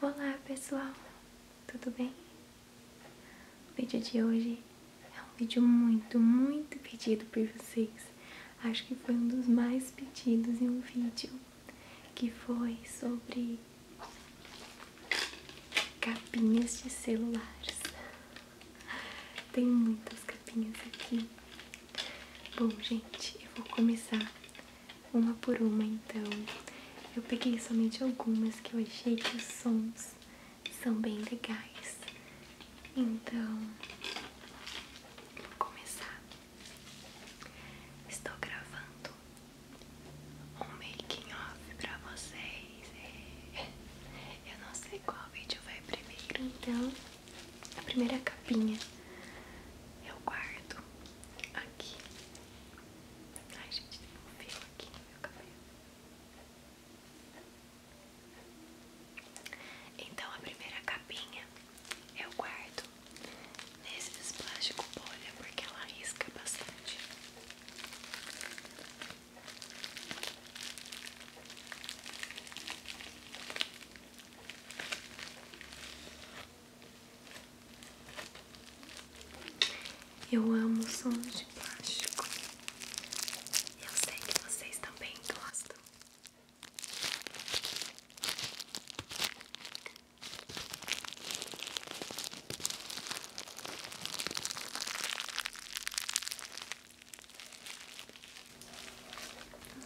Olá pessoal, tudo bem? O vídeo de hoje é um vídeo muito, muito pedido por vocês. Acho que foi um dos mais pedidos em um vídeo, que foi sobre capinhas de celulares. Tem muitas capinhas aqui. Bom gente, eu vou começar uma por uma então. Eu peguei somente algumas que eu achei que os sons são bem legais. Então, vou começar. Estou gravando um making off pra vocês. É. Eu não sei qual vídeo vai primeiro, então a primeira capinha eu guardo Aqui. Ai, gente, tem um fio aqui meu cabelo. Então, a primeira capinha eu guardo nesse plástico bolha porque ela risca bastante. Eu amo sons de plástico. Eu sei que vocês também gostam.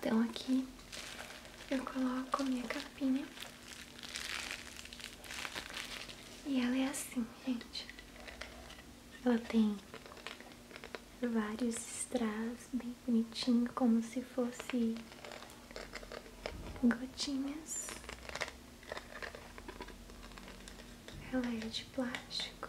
Então aqui eu coloco minha capinha. E ela é assim, gente. Ela tem vários strass bem bonitinho, como se fosse gotinhas. Ela é de plástico.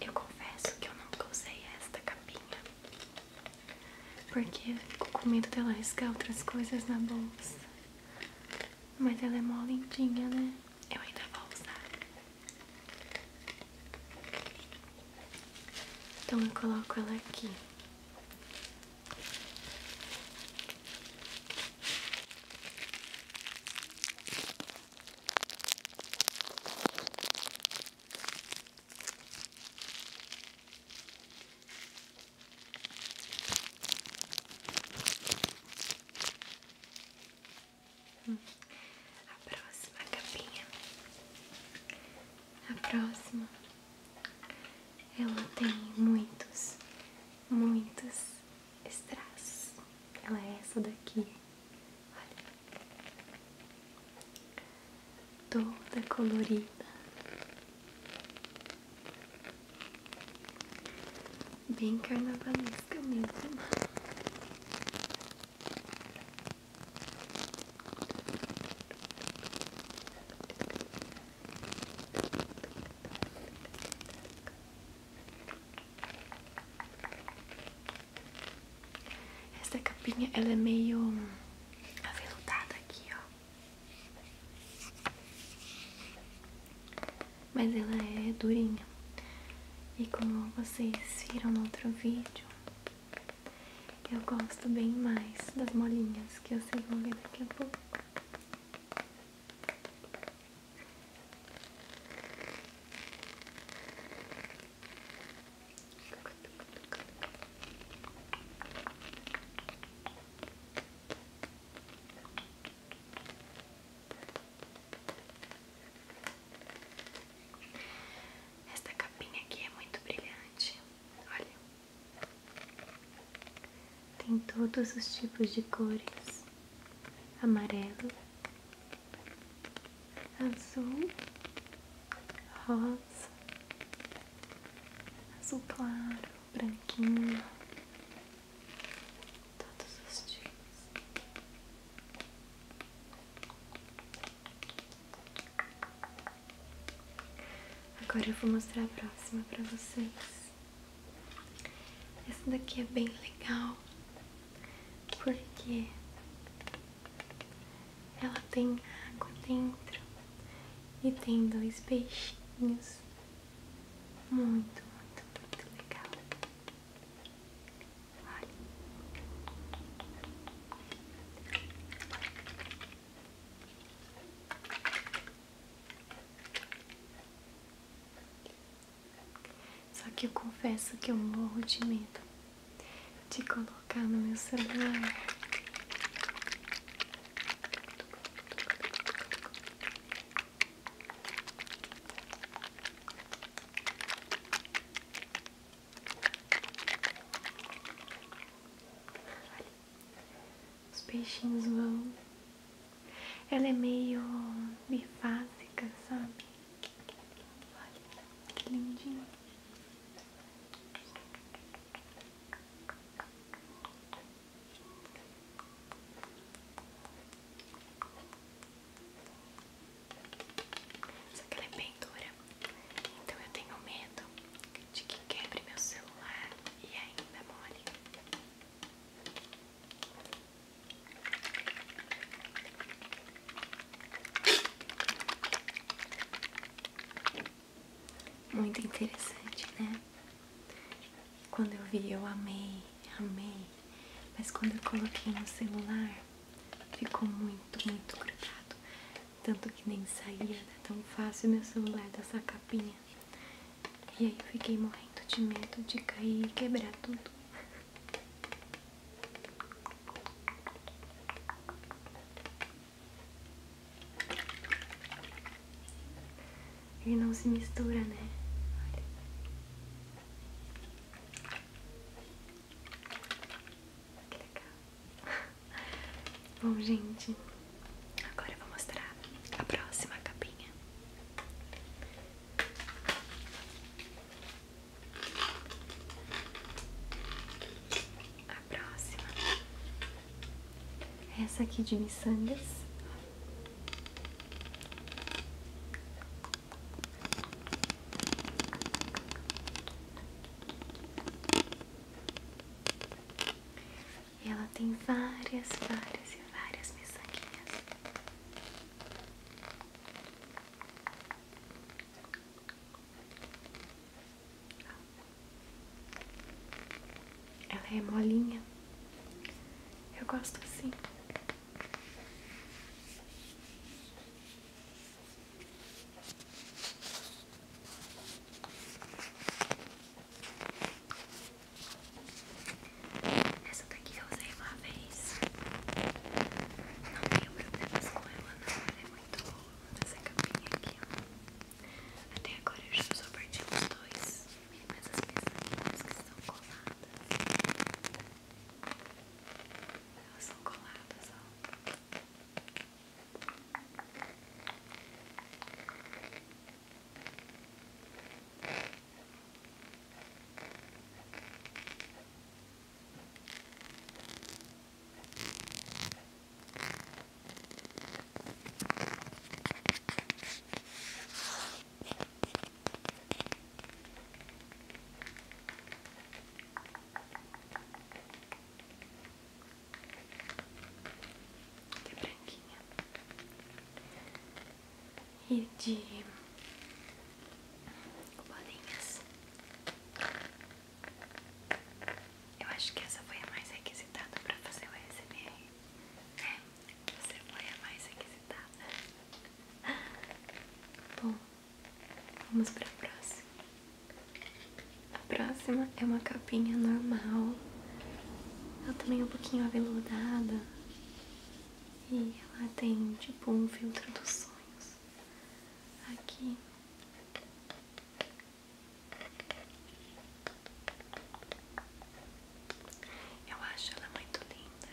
Eu confesso que eu nunca usei esta capinha porque eu fico com medo de ela riscar outras coisas na bolsa. Mas ela é mó lindinha, né? Eu ainda vou usar. Então eu coloco ela aqui. A próxima capinha, a próxima ela tem muitos, muitos strass. Ela é essa daqui, olha, toda colorida, bem carnavalesca mesmo. Essa capinha ela é meio aveludada aqui, ó. Mas ela é durinha. E como vocês viram no outro vídeo, eu gosto bem mais das molinhas que vocês vão ver daqui a pouco. Esta capinha aqui é muito brilhante. Olha. Tem todos os tipos de cores: amarelo, azul, rosa, azul claro, branquinho. Todos os tipos. Agora eu vou mostrar a próxima para vocês. Essa daqui é bem legal porque ela tem água dentro e tem dois peixinhos. Muito, muito, muito legal. Olha. Só que eu confesso que eu morro de medo de colocar no meu celular. Os peixinhos vão. Ela é meio bifásica, sabe? Olha, que lindinho. Só que ela é bem Então eu tenho medo de que quebre meu celular e ainda mole. Muito interessante, né? Quando eu vi, eu amei, amei. Mas quando eu coloquei no celular, Ficou muito, muito grudado. Tanto que nem saía, Tão fácil meu celular dessa capinha. E aí eu fiquei morrendo de medo de cair e quebrar tudo. Ele não se mistura, né? Olha. Que Bom, gente, agora eu vou mostrar a próxima capinha. A próxima. Essa aqui de miçangas ela tem várias, várias e várias miçanguinhas. Ela é molinha. Eu gosto assim. Essa daqui eu usei uma vez. Não tenho problemas com ela, não. Ela é muito boa. Essa capinha aqui, ó. Até agora eu já só perdi os dois. Mas as peças que são coladas. Elas são coladas, ó de é branquinha. E de bolinhas. Eu acho que essa foi a mais requisitada pra fazer o ASMR. É, você foi a mais requisitada. Bom, Vamos para a próxima. A próxima é uma capinha normal. Ela também é um pouquinho aveludada. E ela tem tipo um filtro dos sonhos. Aqui. Eu acho ela muito linda.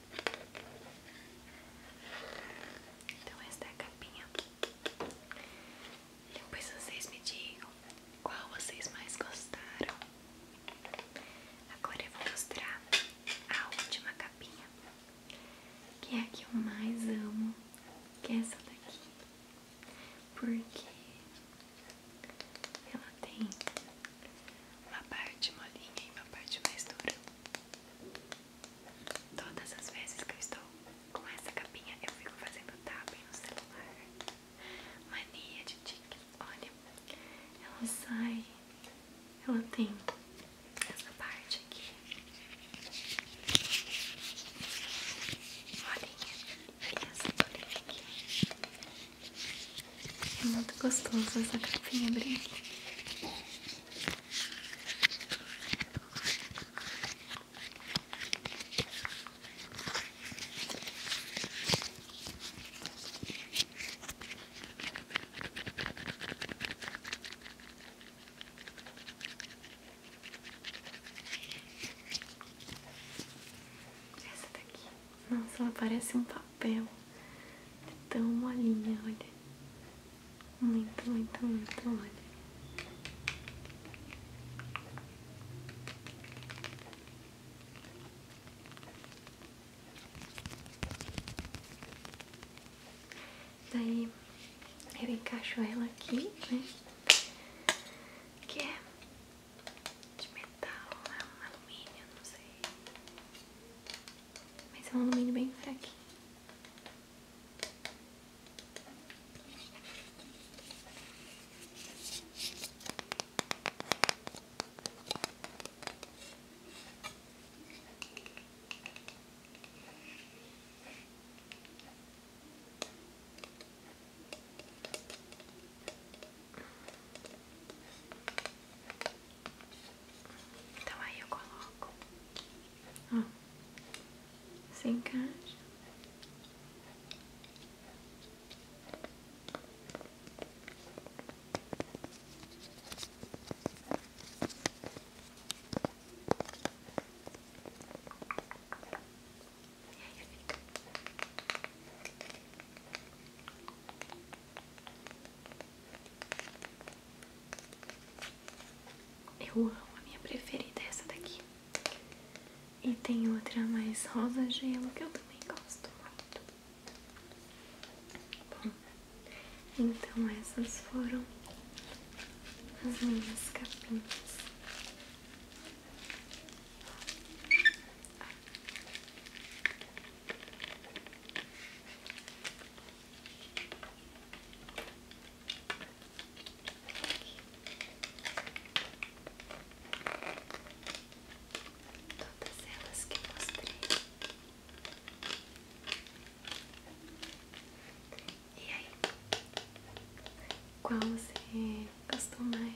Então esta é a capinha. Depois vocês me digam qual vocês mais gostaram. Agora eu vou mostrar a última capinha, que é a que eu mais amo, que é essa daqui, porque ela tem uma parte molinha e uma parte mais dura. Todas as vezes que eu estou com essa capinha, eu fico fazendo tapping no celular. Mania de tique. Olha, ela sai. Ela tem essa parte aqui. Molinha. E essa bolinha aqui. É muito gostoso essa capinha branca. Essa daqui nossa, ela parece um papel. tão molinha, olha. Muito, muito, muito, olha. Daí eu encaixo ela aqui, né? Que é de metal, né? alumínio, não sei. Mas é um alumínio bem fraquinho. Então aí eu coloco, ó, hum. se encaixa. E aí fica. Eu amo, a minha preferida é essa daqui. E tem outra mais rosa gelo que eu também gosto muito. Bom, então essas foram as minhas capinhas. Todas elas que mostrei. E aí? Qual você gostou mais?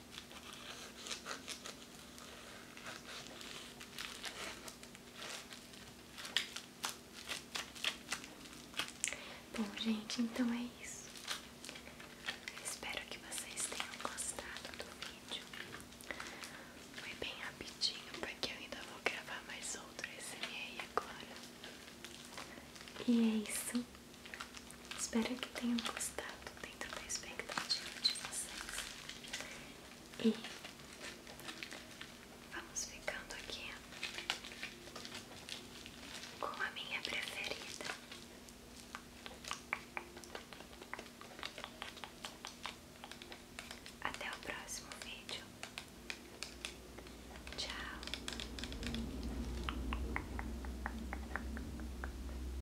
Bom, gente, então é isso. Espero que vocês tenham gostado do vídeo. Foi bem rapidinho, porque eu ainda vou gravar mais outro SMA agora. E é isso. Espero que tenham gostado dentro da expectativa de vocês. E vamos ficando aqui com a minha preferida. Até o próximo vídeo. Tchau.